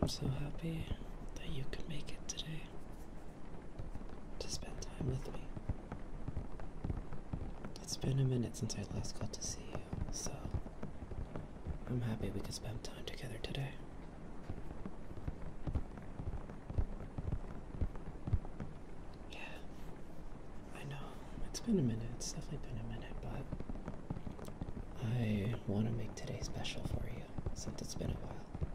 I'm so happy that you could make it today to spend time with me. It's been a minute since I last got to see you, so I'm happy we could spend time together today. Yeah, I know it's been a minute. It's definitely been a minute, but I want to make today special for you since it's been a while.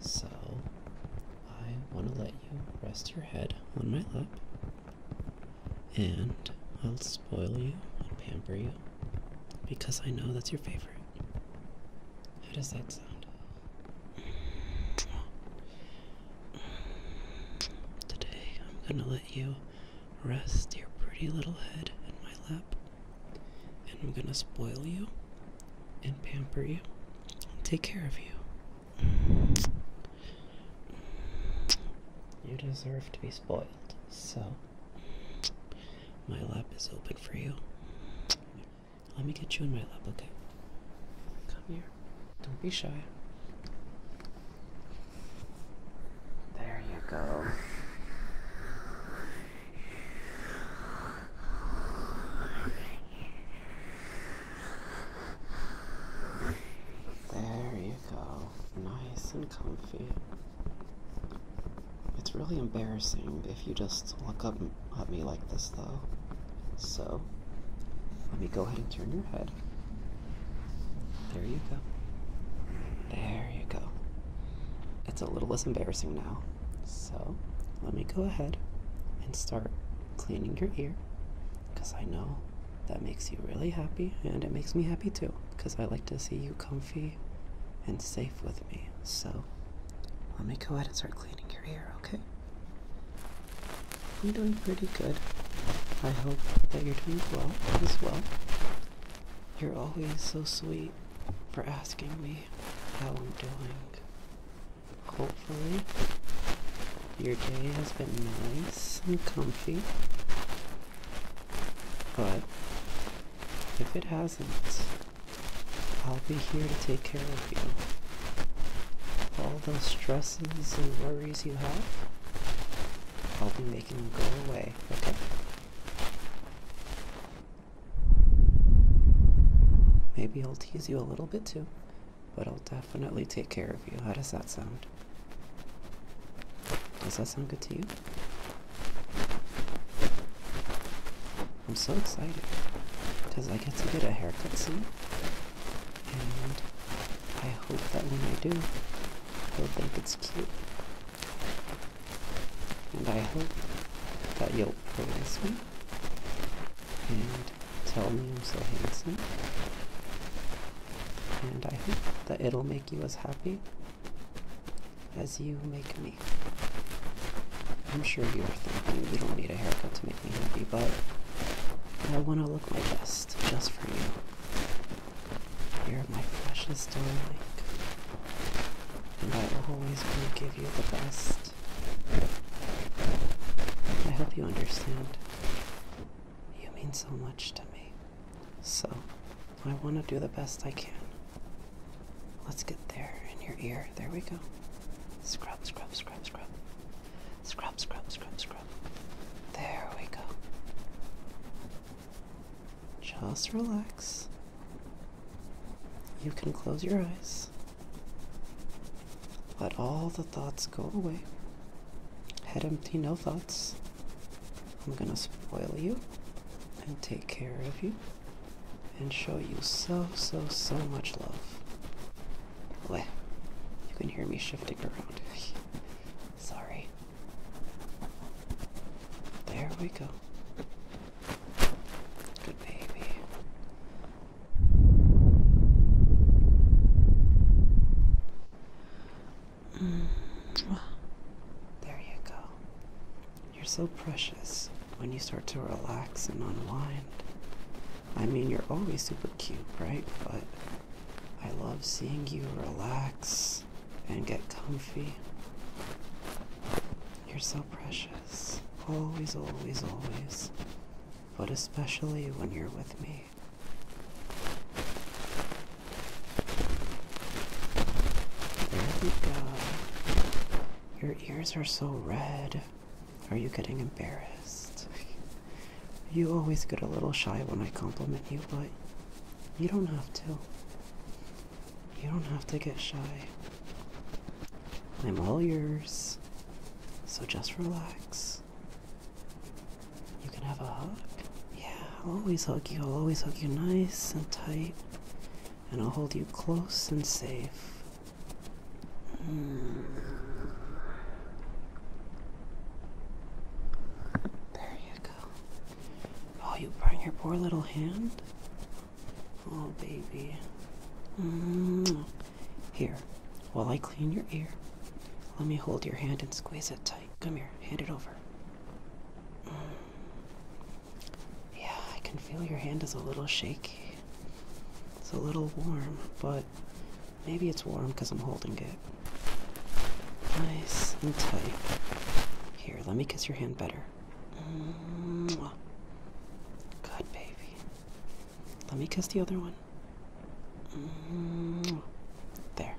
So I want to let you rest your head on my lap, and I'll spoil you and pamper you because I know that's your favorite. How does that sound? Today I'm going to let you rest your pretty little head in my lap. And I'm going to spoil you and pamper you and take care of you. You deserve to be spoiled, so my lap is open for you. Let me get you in my lap, okay? Come here. Don't be shy. There you go. There you go. Nice and comfy. It's really embarrassing if you just look up at me like this, though. So. Let me go ahead and turn your head. There you go. There you go. It's a little less embarrassing now. So let me go ahead and start cleaning your ear because I know that makes you really happy and it makes me happy too because I like to see you comfy and safe with me. So let me go ahead and start cleaning your ear, okay? I'm doing pretty good. I hope that you're doing well as well. You're always so sweet for asking me how I'm doing. Hopefully, your day has been nice and comfy. But if it hasn't, I'll be here to take care of. All those stresses and worries you have, I'll be making them go away, okay? Maybe I'll tease you a little bit too, but I'll definitely take care of you. How does that sound? Does that sound good to you? I'm so excited because I get to get a haircut soon and I hope that when I do, you'll think it's cute. And I hope that you'll praise me and tell me I'm so handsome. And I hope that it'll make you as happy as you make me. I'm sure you are thinking you don't need a haircut to make but I want to look my best just for you. You're my precious darling, and I will always want to give you the best. I hope you understand. You mean so much to me, so I want to do the best I can. Let's get there in your ear. There we go. Scrub, scrub, scrub, scrub. Scrub, scrub, scrub, scrub. There we go. Just relax. You can close your eyes. Let all the thoughts go away. Head empty, no thoughts. I'm gonna spoil you and take care of you and show you so, so, so much love. Well, you can hear me shifting around. Sorry. There we go. Good baby. Mm. There you go. You're so precious when you start to relax and unwind. I mean, you're always super cute, right? But I love seeing you relax and get comfy. You're so precious. Always, always, always. But especially when you're with me. There we go. Your ears are so red. Are you getting embarrassed? you always get a little shy when I compliment you, but you don't have to. You don't have to get shy. I'm all yours, so just relax. You can have a hug. Yeah, I'll always hug you. I'll always hug you nice and tight, and I'll hold you close and safe. There you go. Oh, you burned your poor little hand? Oh, baby. Mm. Here, while I clean your ear, let me hold your hand and squeeze it tight. Come here, hand it over. Mm. Yeah, I can feel your hand is a little shaky. It's a little warm, but maybe it's warm because I'm holding it. Nice and tight. Here, let me kiss your hand better. Good baby. Let me kiss the other one. There.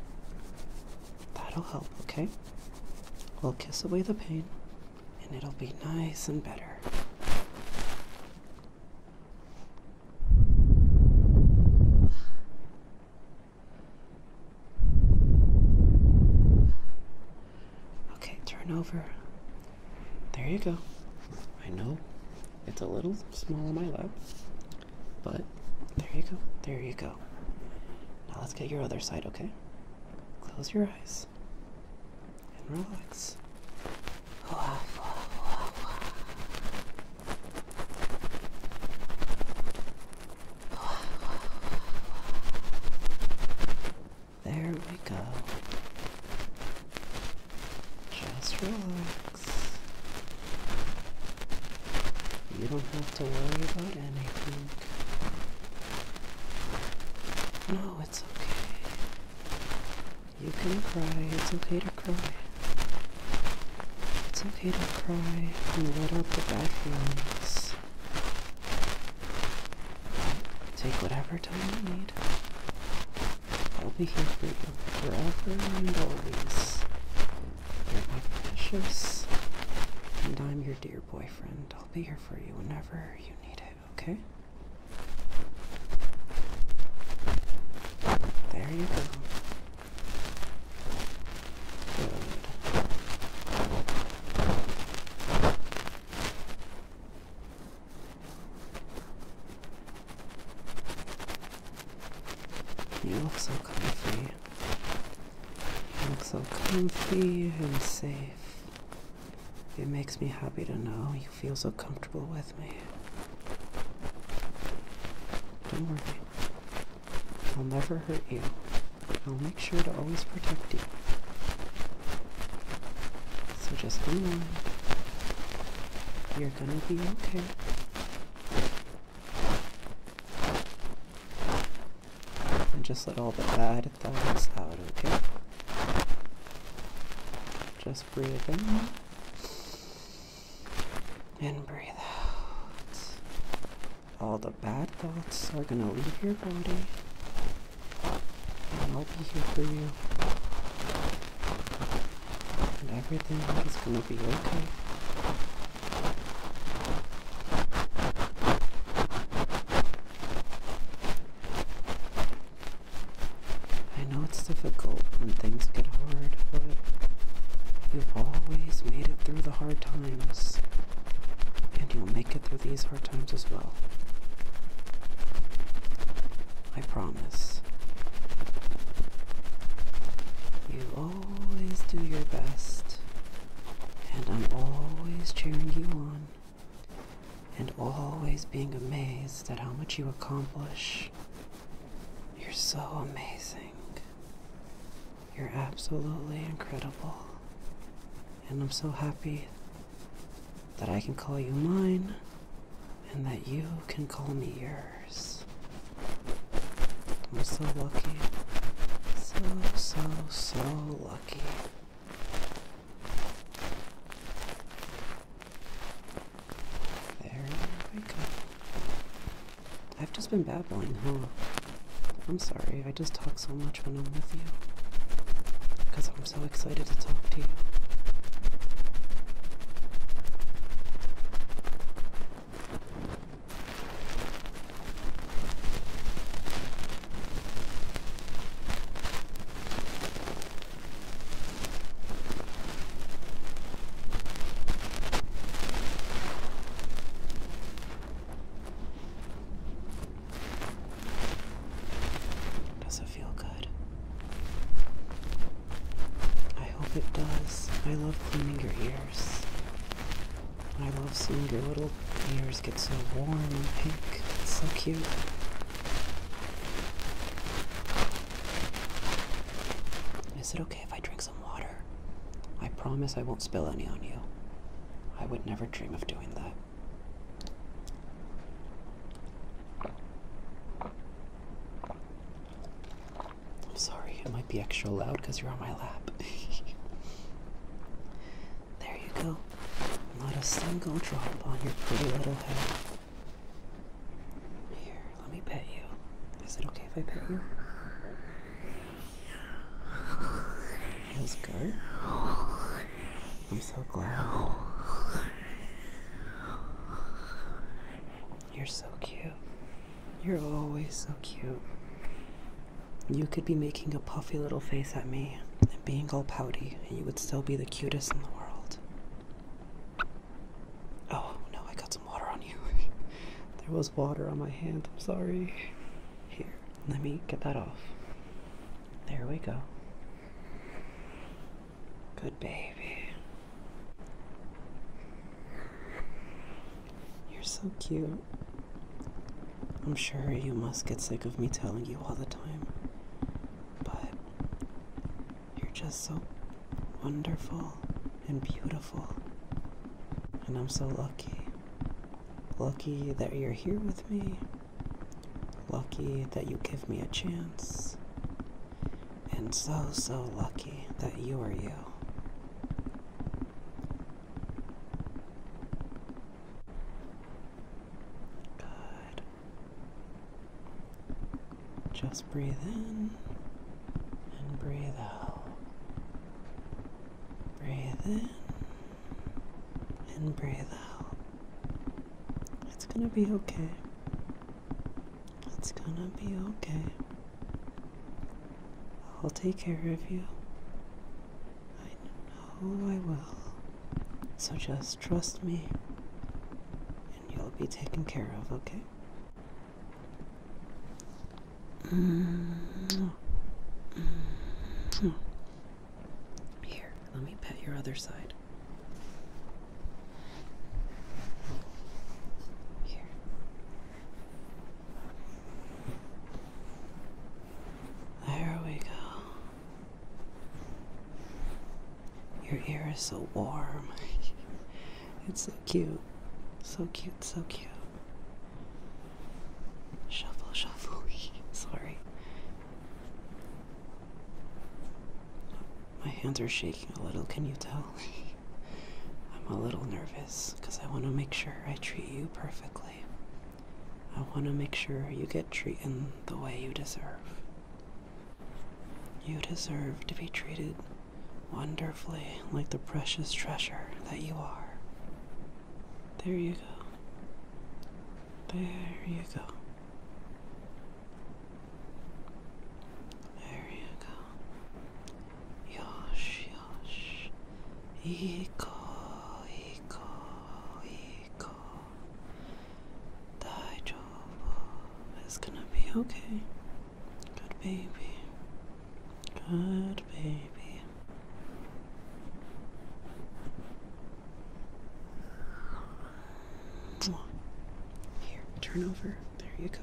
That'll help, okay? We'll kiss away the pain and it'll be nice and better. Okay, turn over. There you go. I know it's a little small on my lap, but there you go. There you go. Now let's get your other side, okay? Close your eyes and relax this. There we go. Just relax. You don't have to worry about anything. No, it's okay. You can cry. It's okay to cry. It's okay to cry and let out the bad feelings. Take whatever time you need. I'll be here for you forever and always. You're my precious, and I'm your dear boyfriend. I'll be here for you whenever you need it, okay? There you go. Good. You look so comfy. You look so comfy and safe. It makes me happy to know you feel so comfortable with me. Don't worry. I'll never hurt you. I'll make sure to always protect you. So just hang on. You're gonna be okay. And just let all the bad thoughts out, okay? Just breathe in. And breathe out. All the bad thoughts are going to leave your body. And I'll be here for you. And everything is going to be okay. I know it's difficult when things get hard, but you've always made it through the hard times, and you'll make it through these hard times as well. I promise. You always do your best, and I'm always cheering you on, and always being amazed at how much you accomplish you're so amazing. You're absolutely incredible. And I'm so happy that I can call you mine and that you can call me yours. I'm so lucky. So, so, so lucky. There we go. I've just been babbling, huh? I'm sorry, I just talk so much when I'm with you. Because I'm so excited to talk to you. Does it feel good? I hope it does. I love cleaning your ears. I love seeing your little ears get so warm and pink. It's so cute. Is it okay if I drink some water? I promise I won't spill any on you. I would never dream of doing that. I'm sorry, it might be extra loud because you're on my lap. there you go. Not a single drop on your pretty little head. Here, let me pet you. Is it okay if I pet you? That was good. I'm so glad. You're so cute. You're always so cute. You could be making a puffy little face at me and being all pouty, and you would still be the cutest in the world. Oh no, I got some water on you. there was water on my hand, I'm sorry. Here, let me get that off. There we go. Good baby. You're so cute. I'm sure you must get sick of me telling you all the time, but you're just so wonderful and beautiful. And I'm so lucky. Lucky that you're here with me. Lucky that you give me a chance. And so, so lucky that you are you. Good. Just breathe in and breathe out. Breathe in and breathe out. It's going to be okay. It's going to be okay. I'll take care of you. I know I will. So just trust me you'll be taken care of, okay? Mm-hmm. Here, let me pet your other side. Here. There we go. Your ear is so warm. it's so cute. So cute, so cute. Shuffle, shuffle. Sorry. My hands are shaking a little, can you tell? I'm a little nervous because I want to make sure I treat you perfectly. I want to make sure you get treated the way you deserve. You deserve to be treated wonderfully like the precious treasure that you are. There you go. There you go. There you go. Yosh, yosh. Iko, iko, iko. It's gonna be okay. Good baby. Good baby. Here, turn over. There you go.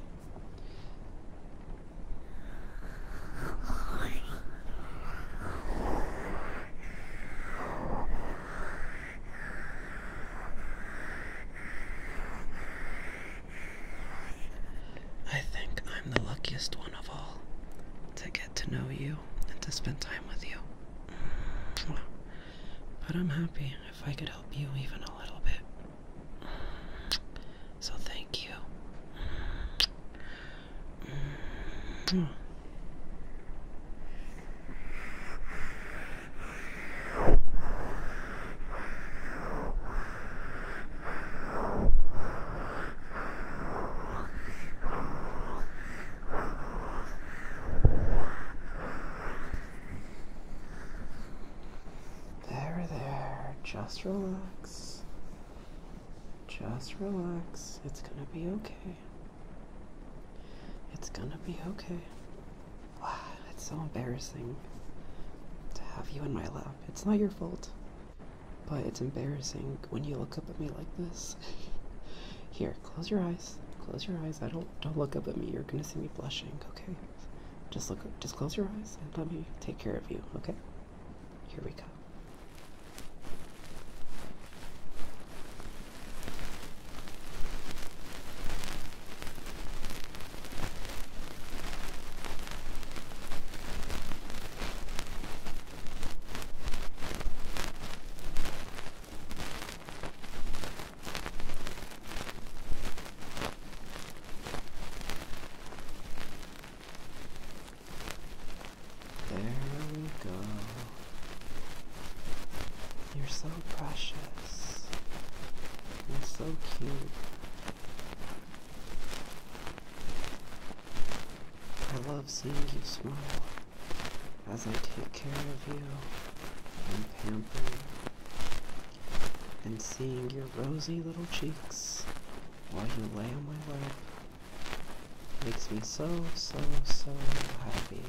I think I'm the luckiest one of all to get to know you and to spend time with you. But I'm happy if I could help you even a little bit. So thank you. There, there, just relax. Just relax. It's gonna be okay. It's gonna be okay. Wow, that's so embarrassing to have you in my lap. It's not your fault, but it's embarrassing when you look up at me like this. Here, close your eyes. Close your eyes. I don't don't look up at me. You're gonna see me blushing. Okay, just look. Just close your eyes and let me take care of you. Okay. Here we go. There we go. You're so precious you are so cute. I love seeing you smile as I take care of you and pamper you. And seeing your rosy little cheeks while you lay on my lap makes me so, so, so happy.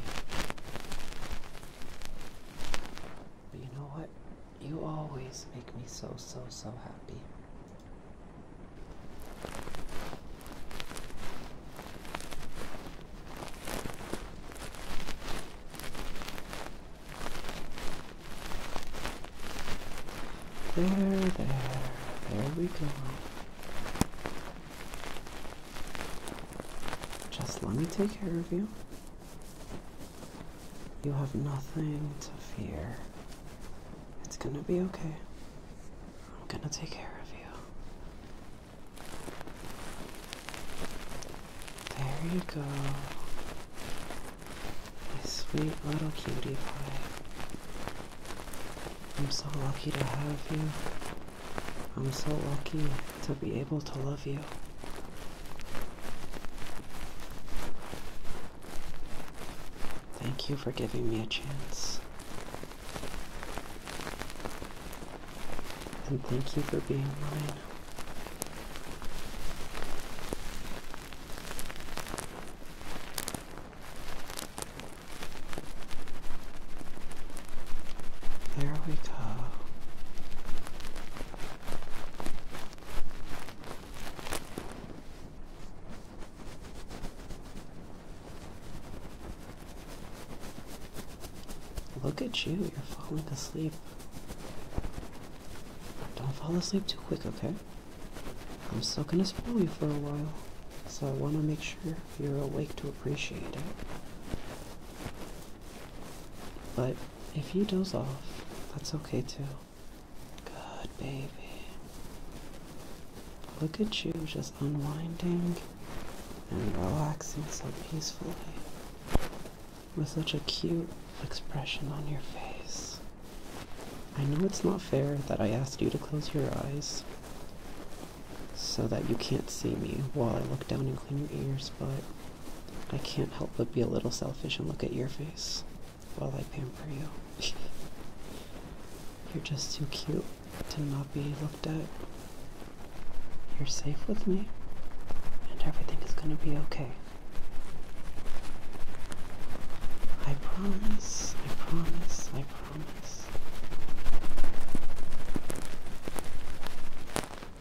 But you know what? You always make me so, so, so happy. There, there, there we go. Just let me take care of you. You have nothing to fear. It's gonna be okay. I'm gonna take care of you. There you go. My sweet little cutie pie. I'm so lucky to have you. I'm so lucky to be able to love you. Thank you for giving me a chance. And thank you for being mine. There we go. Look at you, you're falling asleep. Don't fall asleep too quick, okay? I'm still gonna spoil you for a while, so I wanna make sure you're awake to appreciate it. But if you doze off, that's okay too. Good baby. Look at you just unwinding and relaxing so peacefully with such a cute expression on your face. I know it's not fair that I asked you to close your eyes, so that you can't see me while I look down and clean your ears, but I can't help but be a little selfish and look at your face while I pamper you. You're just too cute to not be looked at. You're safe with me, and everything is gonna be okay. I promise, I promise, I promise.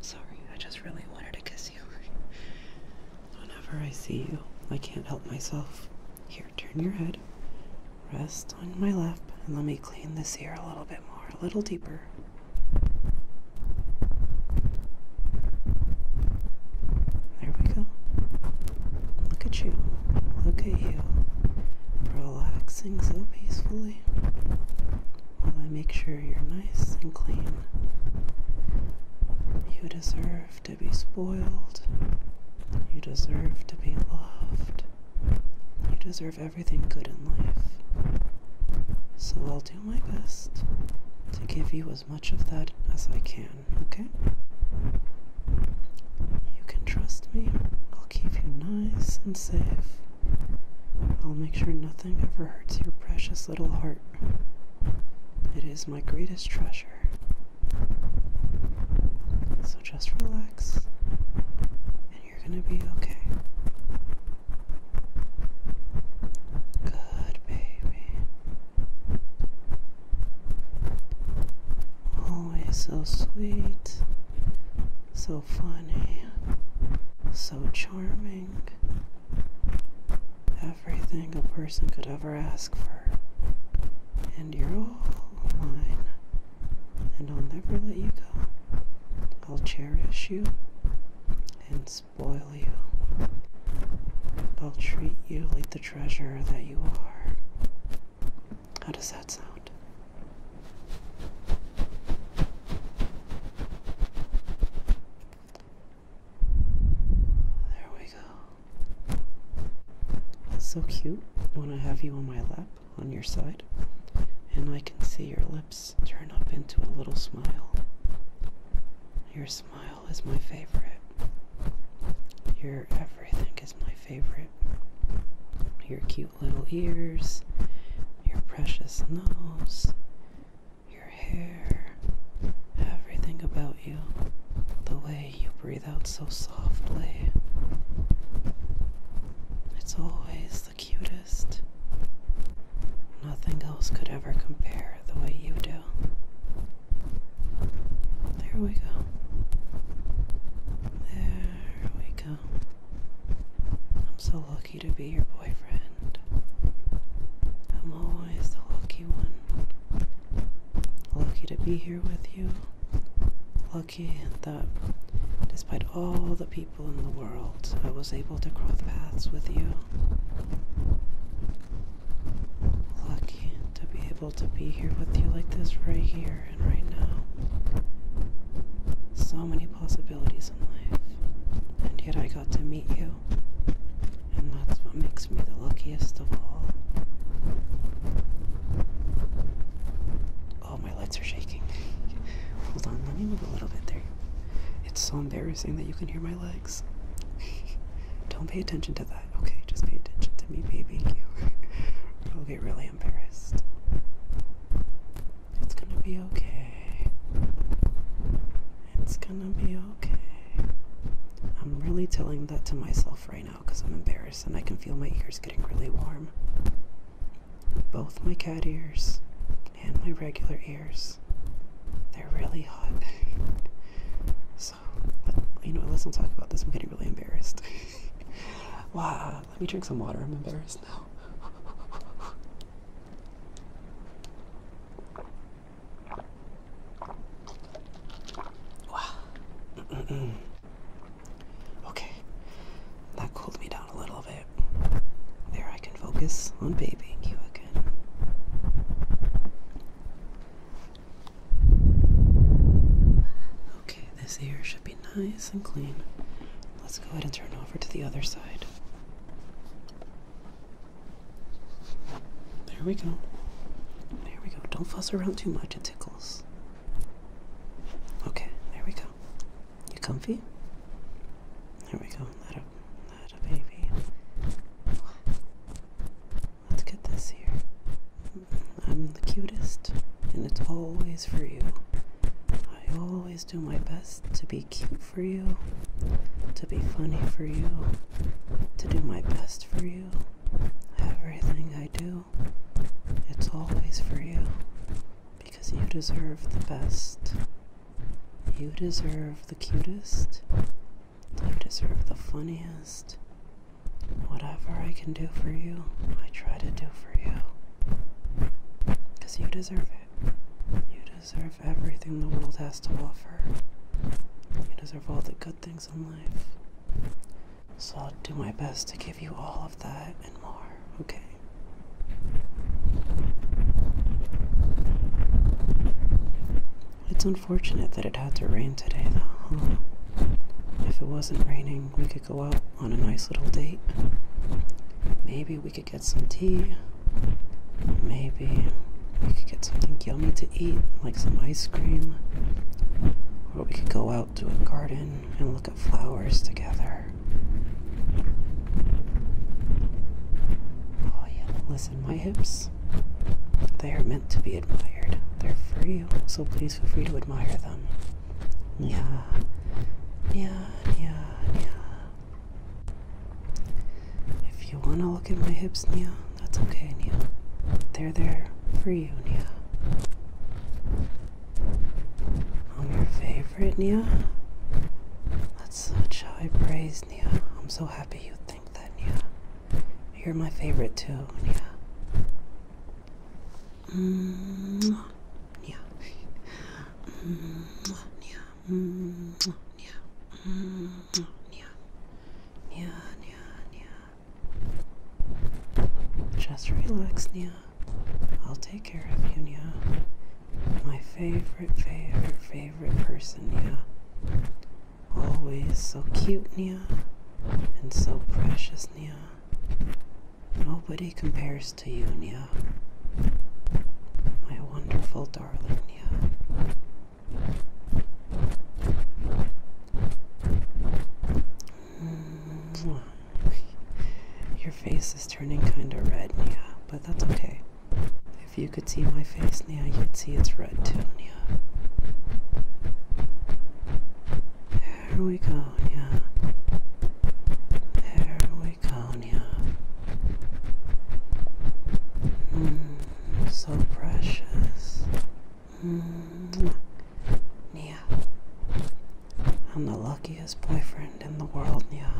Sorry, I just really wanted to kiss you. Whenever I see you, I can't help myself. Here, turn your head. Rest on my lap and let me clean this ear a little bit more, a little deeper. There we go. Look at you. Look at you relaxing so peacefully while I make sure you're nice and clean. You deserve to be spoiled. You deserve to be loved. You deserve everything good in life. So I'll do my best to give you as much of that as I can, okay? You can trust me. I'll keep you nice and safe. I'll make sure nothing ever hurts your precious little heart. It is my greatest treasure. So just relax, and you're gonna be okay. Good baby. Always so sweet so funny, so charming, everything a person could ever ask for. And you're all mine, and I'll never let you go. I'll cherish you and spoil you. I'll treat you like the treasure that you are. How does that sound? There we go. That's so cute when I have you on my lap, on your side, and I can see your lips turn up into a little smile. Your smile is my favorite. Your everything is my favorite. You're cute little ears, your precious nose, your hair, everything about you, the way you breathe out so softly. It's always the cutest. Nothing else could ever compare the way you do. There we go. There we go. I'm so lucky to be your boyfriend. I'm always the lucky one. Lucky to be here with you. Lucky that despite all the people in the world, I was able to cross paths with you. Lucky to be able to be here with you like this right here right now. So many possibilities in life, and yet I got to meet you, and that's what makes me the luckiest of all. Oh, my lights are shaking. Hold on, let me move a little bit there. It's so embarrassing that you can hear my legs. Don't pay attention to that, okay? Just pay attention to me baby. you. It'll get really embarrassed. It's gonna be okay. It's gonna be okay. I'm really telling that to myself right now because I'm embarrassed and I can feel my ears getting really warm. Both my cat ears and my regular ears. They're really hot. so, you know, let's not talk about this. I'm getting really embarrassed. wow, let me drink some water. I'm embarrassed now. okay. That cooled me down a little bit. There, I can focus on babying you again. Okay, this ear should be nice and clean. Let's go ahead and turn over to the other side. There we go. There we go. Don't fuss around too much, it tickles. Okay, there we go. You comfy? There we go. Not a, not a baby. Let's get this here. I'm the cutest, and it's always for you. I always do my best to be cute for you, to be funny for you, to do my best for you. Everything I do, it's always for you because you deserve the best. You deserve the cutest. You deserve the funniest. Whatever I can do for you, I try to do for you. Because you deserve it. You deserve everything the world has to offer. You deserve all the good things in life. So I'll do my best to give you all of that and more, okay? It's unfortunate that it had to rain today, though, If it wasn't raining, we could go out on a nice little date. Maybe we could get some tea. Maybe we could get something yummy to eat, like some ice cream. Or we could go out to a garden and look at flowers together. Oh, yeah, listen, my hips, they are meant to be admired. They're for you, so please feel free to admire them. Yeah, yeah, yeah, yeah. If you want to look at my hips, Nya, that's okay, Nya. They're there for you, Nya. I'm your favorite, Nya. That's such high praise, Nya. I'm so happy you think that, Nya. You're my favorite too, Nya. Mm yeah. Mm yeah. Mm yeah. Mm yeah. Yeah, yeah, yeah. Just relax, Nia. I'll take care of you, Nia. My favorite, favorite, favorite person, Nia. Always so cute, Nia, and so precious, Nia. Nobody compares to you, Nia. My wonderful darling Nia. Mm. Your face is turning kinda red, Nia, but that's okay. If you could see my face, Nia, you'd see it's red too, Nia. There we go, yeah. There we go, yeah. Mm, so precious. Mm, yeah. I'm the luckiest boyfriend in the world, yeah.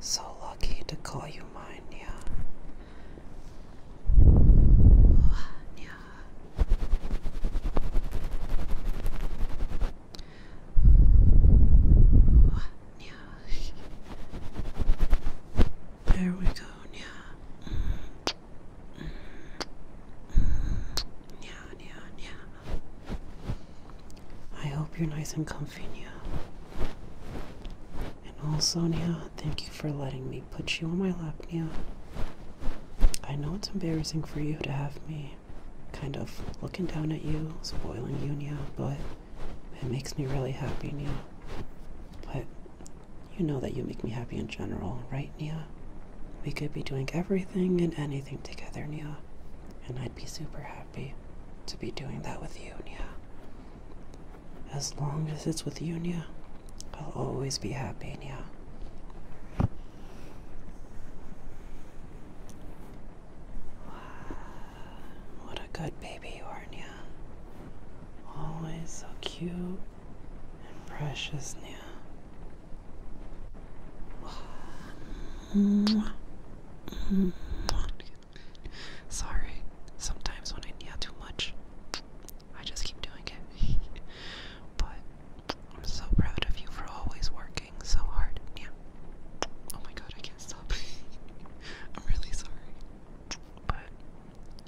So lucky to call you mine, yeah. Yeah. There we go, yeah. Mm. Mm. Mm. I hope you're nice and comfy, Nya. And also, Nia, thank you for letting me put you on my lap, Nia. I know it's embarrassing for you to have me kind of looking down at you, spoiling you, Nia, but it makes me really happy, Nia. But you know that you make me happy in general, right, Nia? We could be doing everything and anything together, Nia, and I'd be super happy to be doing that with you, Nia. As long as it's with you, Nia, I'll always be happy, Nia. What a good baby you are, Nya. Always so cute and precious, Nya. Sorry, sometimes when I need too much, I just keep doing it. But I'm so proud of you for always working so hard. Yeah. Oh my god, I can't stop. I'm really sorry. But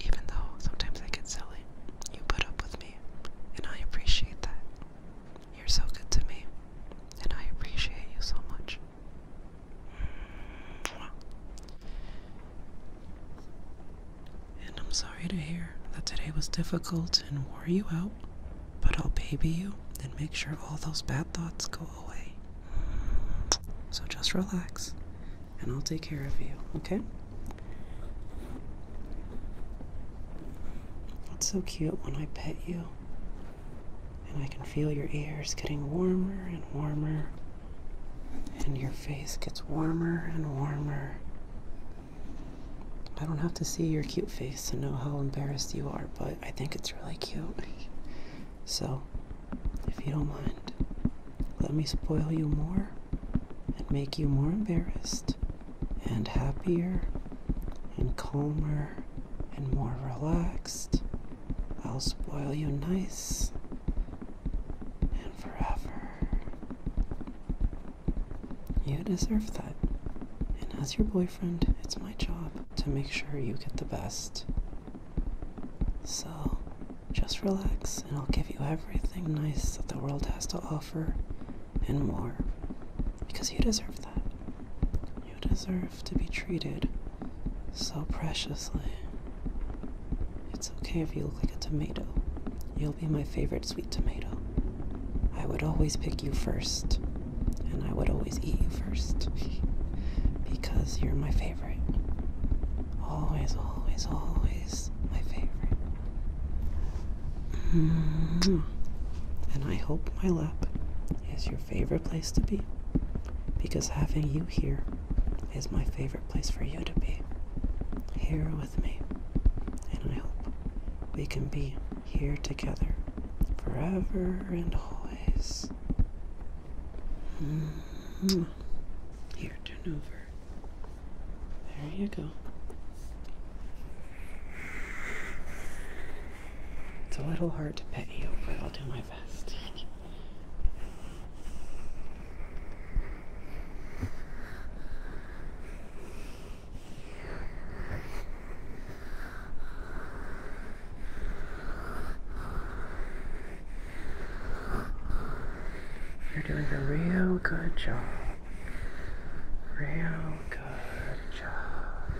even though sometimes I get silly, you put up with me, and I appreciate that. You're so good to me, and I appreciate you so much. And I'm sorry to hear that today was difficult and wore you out, but I'll baby you and make sure all those bad thoughts go away. So just relax and I'll take care of you, okay? It's so cute when I pet you and I can feel your ears getting warmer and warmer and your face gets warmer and warmer I don't have to see your cute face to know how embarrassed you are, but I think it's really cute. So, if you don't mind, let me spoil you more and make you more embarrassed and happier and calmer and more relaxed. I'll spoil you nice and forever. You deserve that. And as your boyfriend, it's my job to make sure you get the best. So, just relax and I'll give you everything nice that the world has to offer and more. Because you deserve that. You deserve to be treated so preciously. It's okay if you look like a tomato. You'll be my favorite sweet tomato. I would always pick you first, and I would always eat you first because you're my favorite. Always, always, always my favorite. Mm-hmm. And I hope my lap is your favorite place to be because having you here is my favorite place for you to be. Here with me, and I hope we can be here together forever and always. Mm-hmm. Here, turn over. There you go. It's a little hard to pet you, but I'll do my best. You're doing a real good job. Real good job.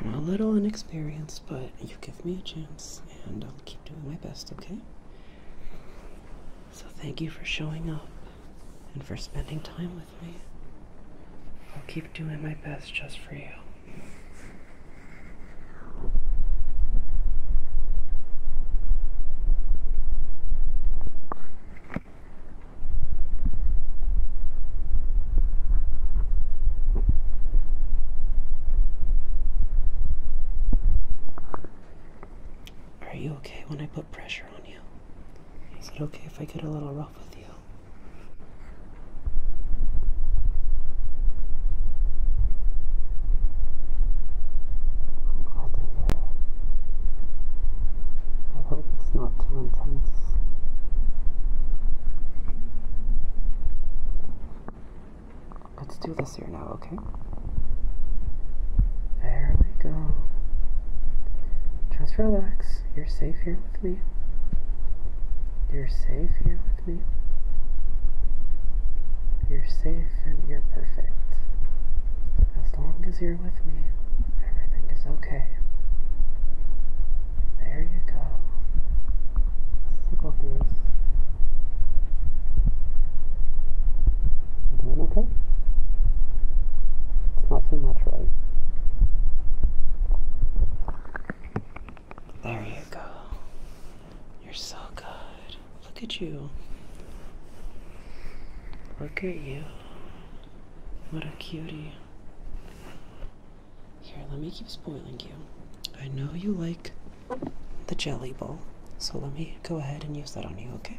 I'm a little inexperienced, but you give me a chance and I'll keep doing my best, okay? So thank you for showing up and for spending time with me. I'll keep doing my best just for you pressure on you. Is it okay if I get a little rough with you? i uh, hope it's not too intense. Let's do this ear now, okay? There we go. Just relax. You're safe here with me. You're safe here with me. You're safe and you're perfect. As long as you're with me, everything is okay. There you go. Let's this. You doing okay? It's not too much, right? There you go. You're so good. Look at you. Look at you. What a cutie. Here, let me keep spoiling you. I know you like the jelly bowl, so let me go ahead and use that on you, okay?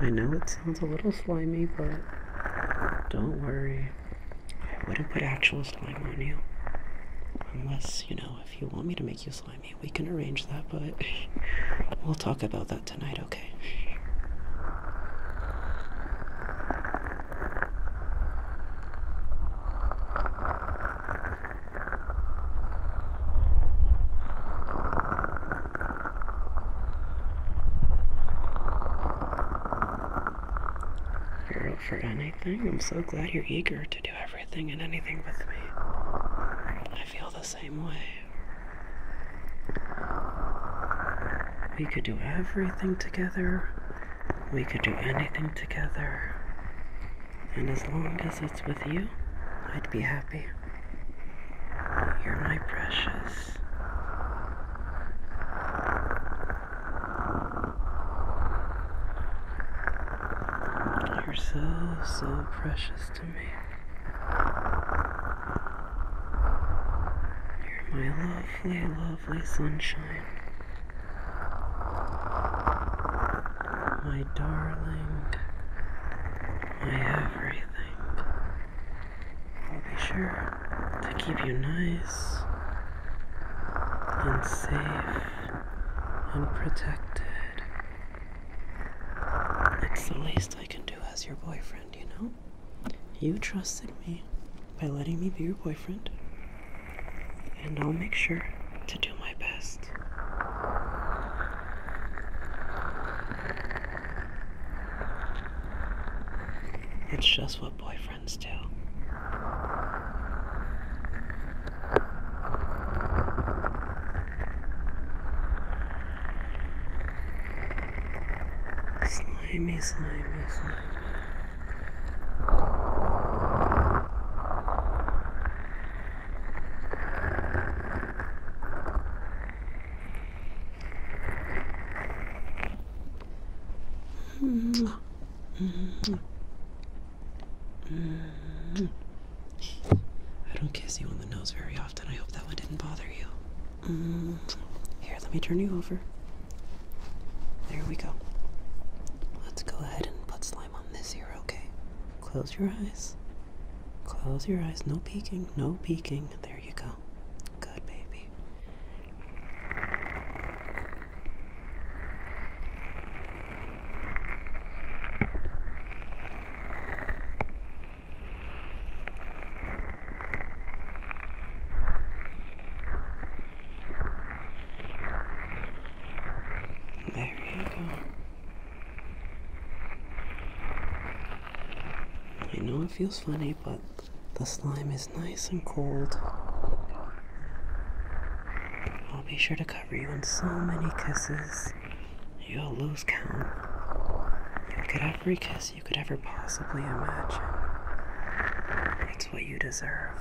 I know it sounds a little slimy, but don't worry. I wouldn't put actual slime on you. Unless, you know, if you want me to make you slimy, we can arrange that, but we'll talk about that tonight, okay? Girl, for anything. I'm so glad you're eager to do everything and anything with me. I feel the same way. We could do everything together. We could do anything together. And as long as it's with you, I'd be happy. You're my precious. You're so, so precious to me. You're my lovely, lovely sunshine. My darling, my everything. I'll be sure to keep you nice and safe and protected. It's the least I can do as your boyfriend, you know? You trusted me by letting me be your boyfriend, and I'll make sure to do my best. It's just what boyfriends do. Slimy, slimy, slimy. I don't kiss you on the nose very often. I hope that one didn't bother you. Here, let me turn you over. There we go. Let's go ahead and put slime on this ear, okay? Close your eyes. Close your eyes. No peeking. No peeking. There you go. Good baby. There you go. I know it feels funny, but the slime is nice and cold. I'll be sure to cover you in so many kisses, you'll lose count. You'll every kiss you could ever possibly imagine. It's what you deserve.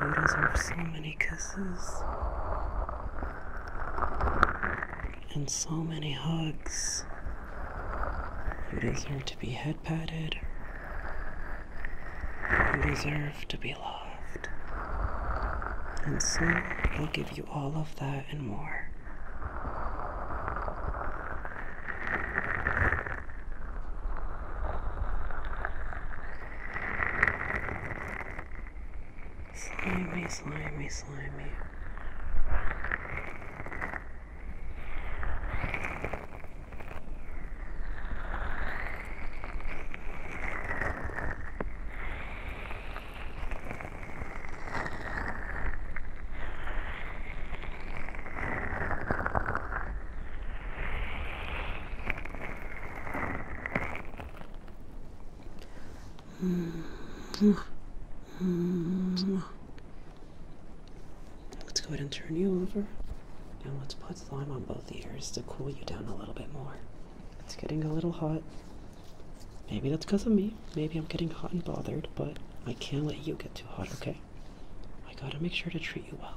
You deserve so many kisses and so many hugs. You deserve to be head patted. You deserve to be loved. And so I'll give you all of that and more. Slimy, slimy, slimy. Let's go ahead and turn you over. Now let's put slime on both ears to cool you down a little bit more. It's getting a little hot. Maybe that's because of me. Maybe I'm getting hot and bothered, but I can't let you get too hot, okay? I gotta make sure to treat you well.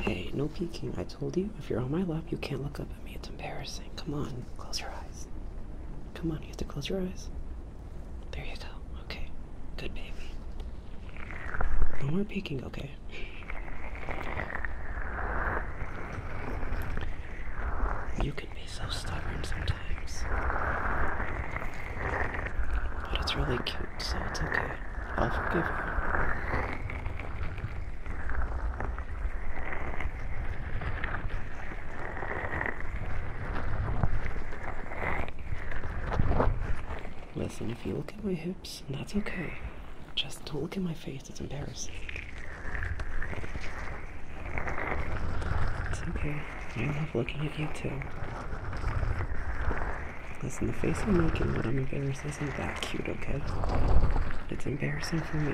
Hey, no peeking. I told you, if you're on my lap, you can't look up at me. It's embarrassing. Come on, close your eyes. Come on, you have to close your eyes. There you go. Okay. Good baby. No more peeking, okay? You be so stubborn sometimes. But it's really cute, so it's okay. I'll forgive her. Listen, if you look at my hips, that's okay. Just don't look at my face, it's embarrassing. It's okay. I love looking at you too. Listen, the face I'm making what I'm embarrassed isn't that cute, okay? It's embarrassing for me.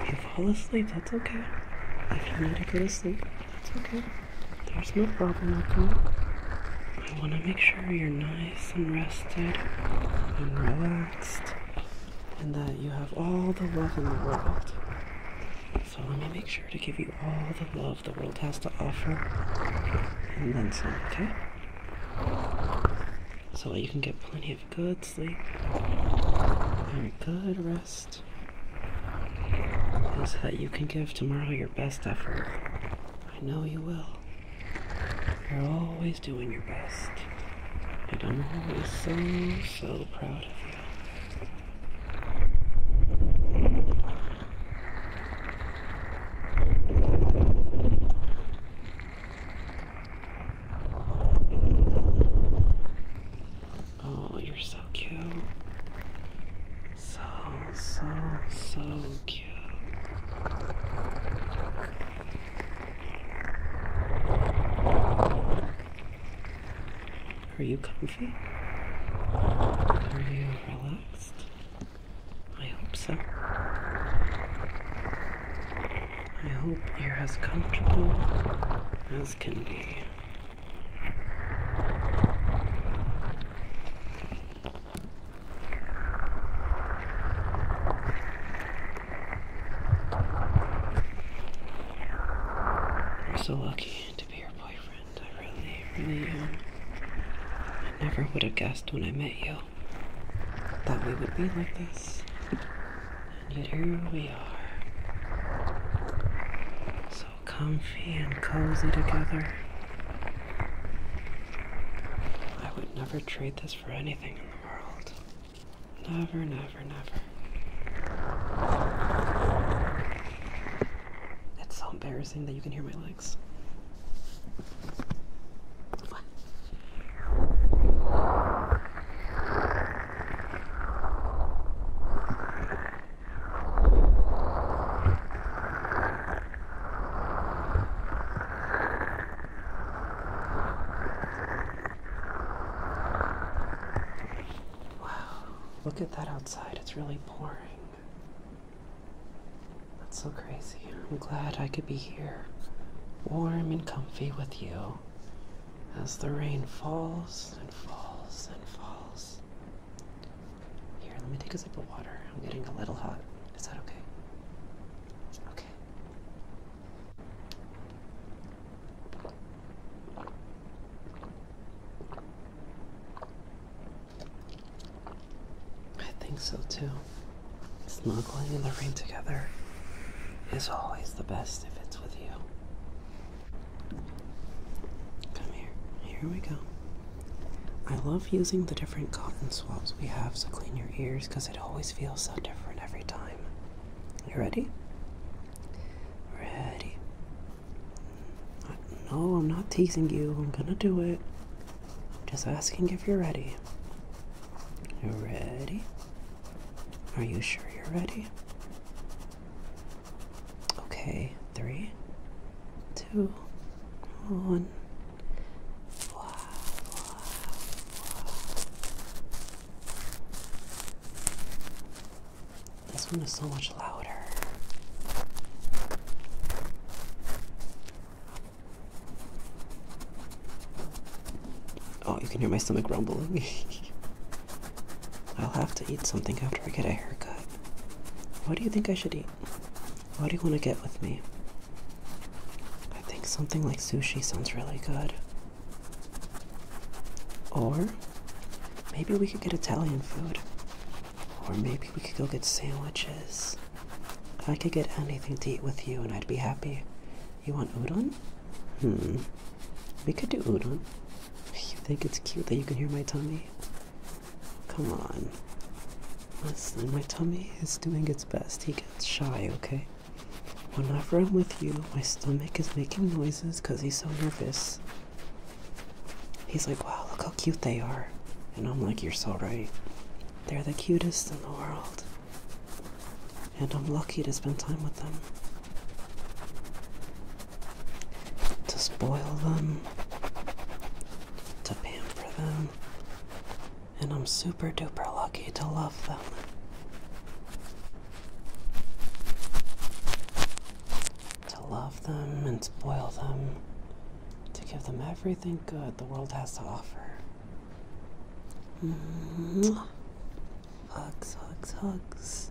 If you fall asleep, that's okay. If you need to go to sleep, that's okay. There's no problem with that. I want to make sure you're not and rested and relaxed and that you have all the love in the world. So let me make sure to give you all the love the world has to offer and then some, okay? So that you can get plenty of good sleep and good rest. And so that you can give tomorrow your best effort. I know you will. You're always doing your best, and I'm always so, so proud of you. Oh, you're so cute. So, so, so cute. Are you comfy? Are you relaxed? I hope so. I hope you're as comfortable as can be. I'm so lucky to be your boyfriend. I really, really am. I never would have guessed when I met you that we would be like this. And yet here we are. So comfy and cozy together. I would never trade this for anything in the world. Never, never, never. It's so embarrassing that you can hear my legs. Wow, look at that outside. It's really pouring. That's so crazy. I'm glad I could be here, warm and comfy with you as the rain falls and falls and falls. Here, let me take a sip of water. I'm getting a little hot. Is that okay? Okay. I think so too. Snuggling in the rain together is always the best if it's with you. Come here. Here we go. I love using the different cotton swabs we have to clean your ears because it always feels so different every time. You ready? Ready. Mm, no, I'm not teasing you. I'm gonna do it. I'm just asking if you're ready. You ready? Are you sure you're ready? Okay, three, two, one. Wow, This one is so much louder. Oh, you can hear my stomach rumbling. I'll have to eat something after I get a haircut. What do you think I should eat? What do you want to get with me? I think something like sushi sounds really good. Or maybe we could get Italian food. Or maybe we could go get sandwiches. I could get anything to eat with you and I'd be happy. You want udon? Hmm. We could do udon. You think it's cute that you can hear my tummy? Come on. Listen, my tummy is doing its best. He gets shy, okay? Whenever I'm with you, my stomach is making noises because he's so nervous. He's like, wow, look how cute they are. And I'm like, you're so right. They're the cutest in the world. And I'm lucky to spend time with them. To spoil them, to pamper them, and I'm super duper lucky to love them. To love them and spoil them, to give them everything good the world has to offer. Mm-hmm. Hugs, hugs, hugs.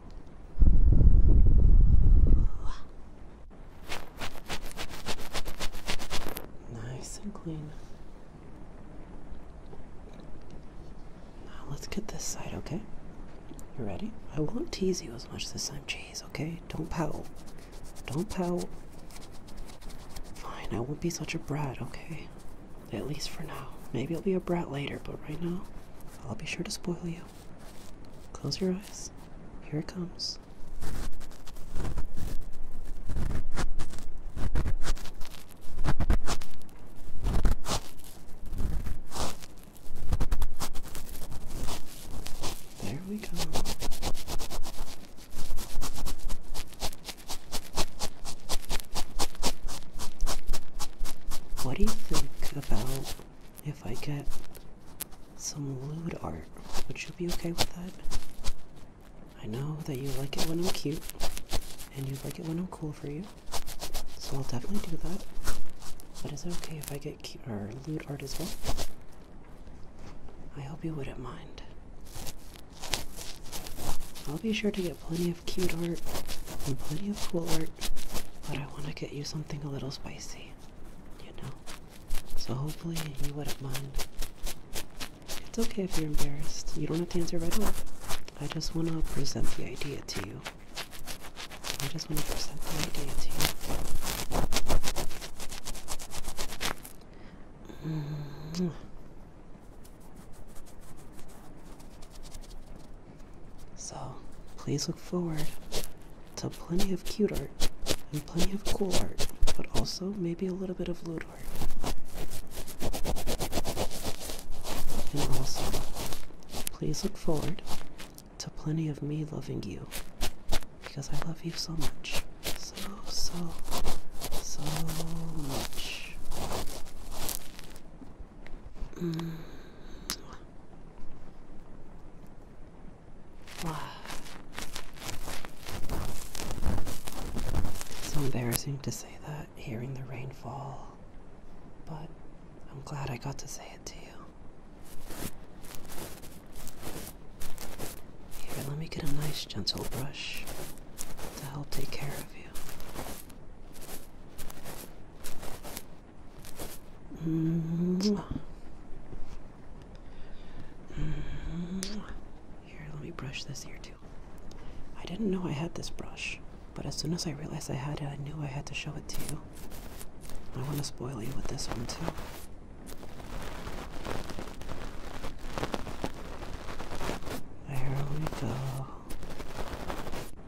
Nice and clean. Now let's get this side, okay? You ready? I won't tease you as much this time, jeez, okay? Don't pout. Don't pout. Fine, I won't be such a brat, okay? At least for now. Maybe I'll be a brat later, but right now, I'll be sure to spoil you. Close your eyes. Here it comes. There we go. What do you think about if I get some lewd art. Would you be okay with that? I know that you like it when I'm cute, and you like it when I'm cool for you, so I'll definitely do that. But is it okay if I get cute or lewd art as well? I hope you wouldn't mind. I'll be sure to get plenty of cute art and plenty of cool art but I want to get you something a little spicy, you know? So hopefully you wouldn't mind. It's okay if you're embarrassed. You don't have to answer right away. I just want to present the idea to you. I just want to present the idea to you. Mm. So please look forward to plenty of cute art and plenty of cool art, but also maybe a little bit of lewd art. And also, please look forward to plenty of me loving you because I love you so much. So, so, so much. Wow. It's so embarrassing to say that hearing the rainfall, but I'm glad I got to say it to you. Here, let me get a nice gentle brush to help take care of you. Here, let me brush this here too. I didn't know I had this brush, but as soon as I realized I had it, I knew I had to show it to you. I want to spoil you with this one too. There we go.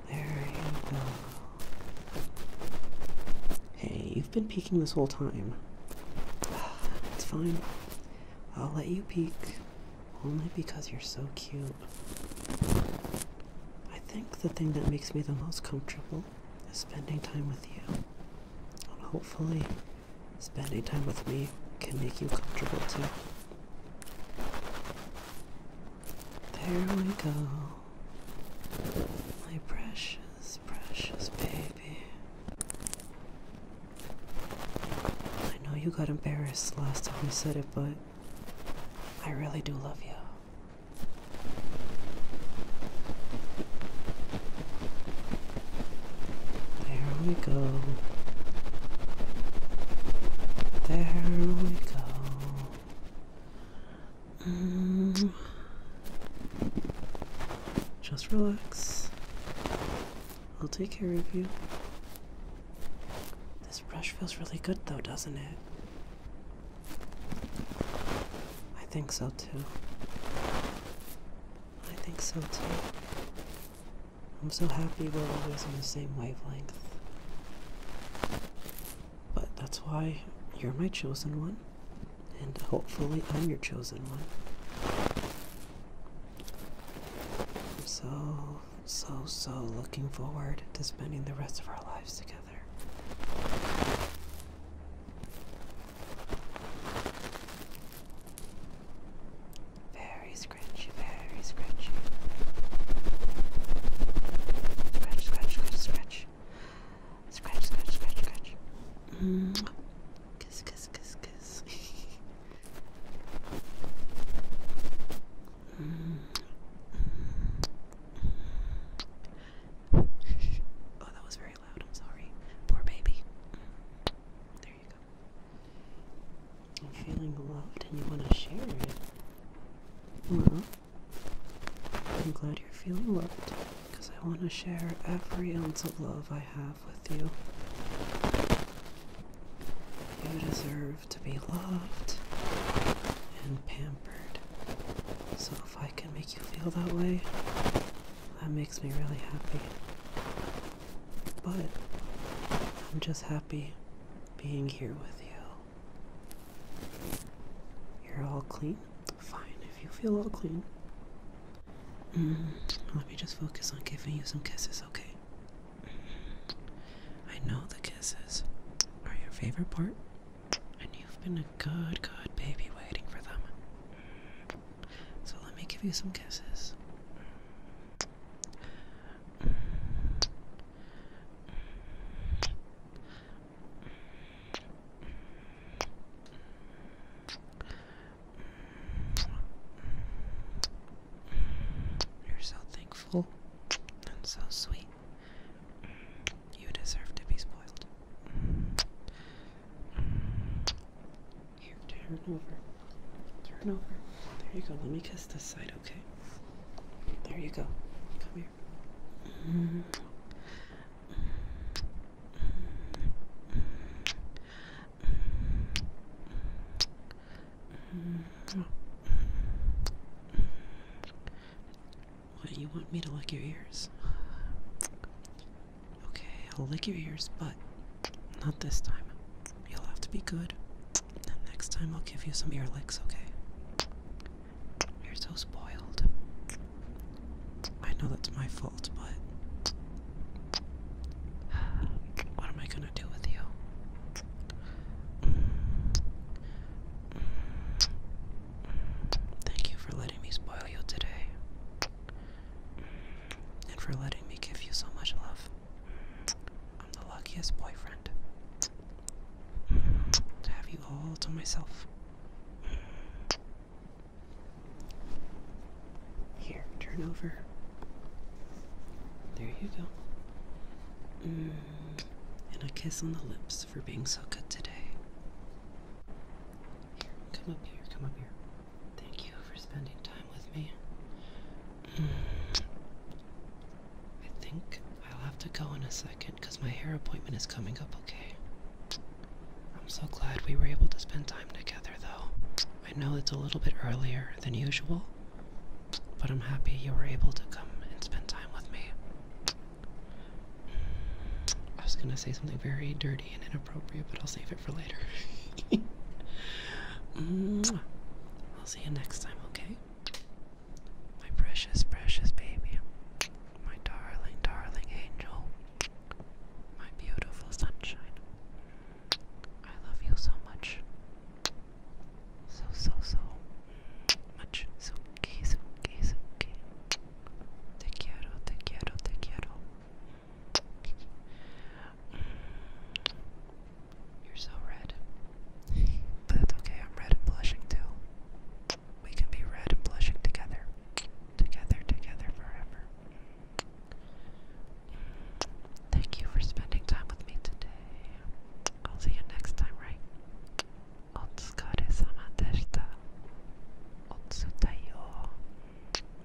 There you go. Hey, you've been peeking this whole time. It's fine. I'll let you peek only because you're so cute. I think the thing that makes me the most comfortable is spending time with you. And hopefully, spending time with me can make you comfortable too. There we go. My precious, precious baby. I know you got embarrassed last time you said it, but I really do love you. There we go. There we go. Um, just relax. I'll take care of you. This brush feels really good, though, doesn't it? I think so too. I think so too. I'm so happy we're always on the same wavelength. But that's why you're my chosen one, and hopefully, I'm your chosen one. I'm so, so, so looking forward to spending the rest of our lives together. Very scratchy, very very scratchy. Scratch, scratch, scratch, scratch. Scratch, scratch, scratch, scratch. Mm. Kiss, kiss, kiss, kiss. mm. oh, that was very loud. I'm sorry. Poor baby. There you go. I'm feeling loved and you want to share it. Well, I'm glad you're feeling loved because I want to share every ounce of love I have with you. You deserve to be loved and pampered. So if I can make you feel that way, that makes me really happy. But I'm just happy being here with you. You're all clean? Fine, if you feel all clean. Mm, let me just focus on giving you some kisses, okay? I know the kisses are your favorite part, and you've been a good, good baby waiting for them. So let me give you some kisses. You're so thankful and so sweet. You deserve to be spoiled. Here, turn over. Turn over. There you go. Let me kiss this side, okay? There you go. Come here. What, you want me to lick your ears? Okay, I'll lick your ears, but not this time. You'll have to be good next time I'll give you some ear licks, okay? You're so spoiled. I know that's my fault, but what am I gonna do with you? Thank you for letting me spoil you today. And for letting me give you so much love. I'm the luckiest boyfriend to have you all to myself. Here, turn over. There you go. Mm, and a kiss on the lips for being so good today. come up here, come up here. Thank you for spending time with me. Mm. I think I'll have to go in a second because my hair appointment is coming up, okay? I'm so glad we were able to spend time together, though. I know it's a little bit earlier than usual, but I'm happy you were able to come and spend time with me. I was gonna say something very dirty and inappropriate, but I'll save it for later. I'll see you next time, okay? My precious, precious baby. My darling, darling angel. My beautiful sunshine. I love you so much. So, so, so much. Suki, suki, suki. Te quiero, te quiero, te quiero. You're so red. but that's okay, I'm red and blushing too. We can be red and blushing together. Together, together forever. Thank you for spending time with me today. I'll see you next time, right?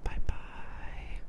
Bye bye.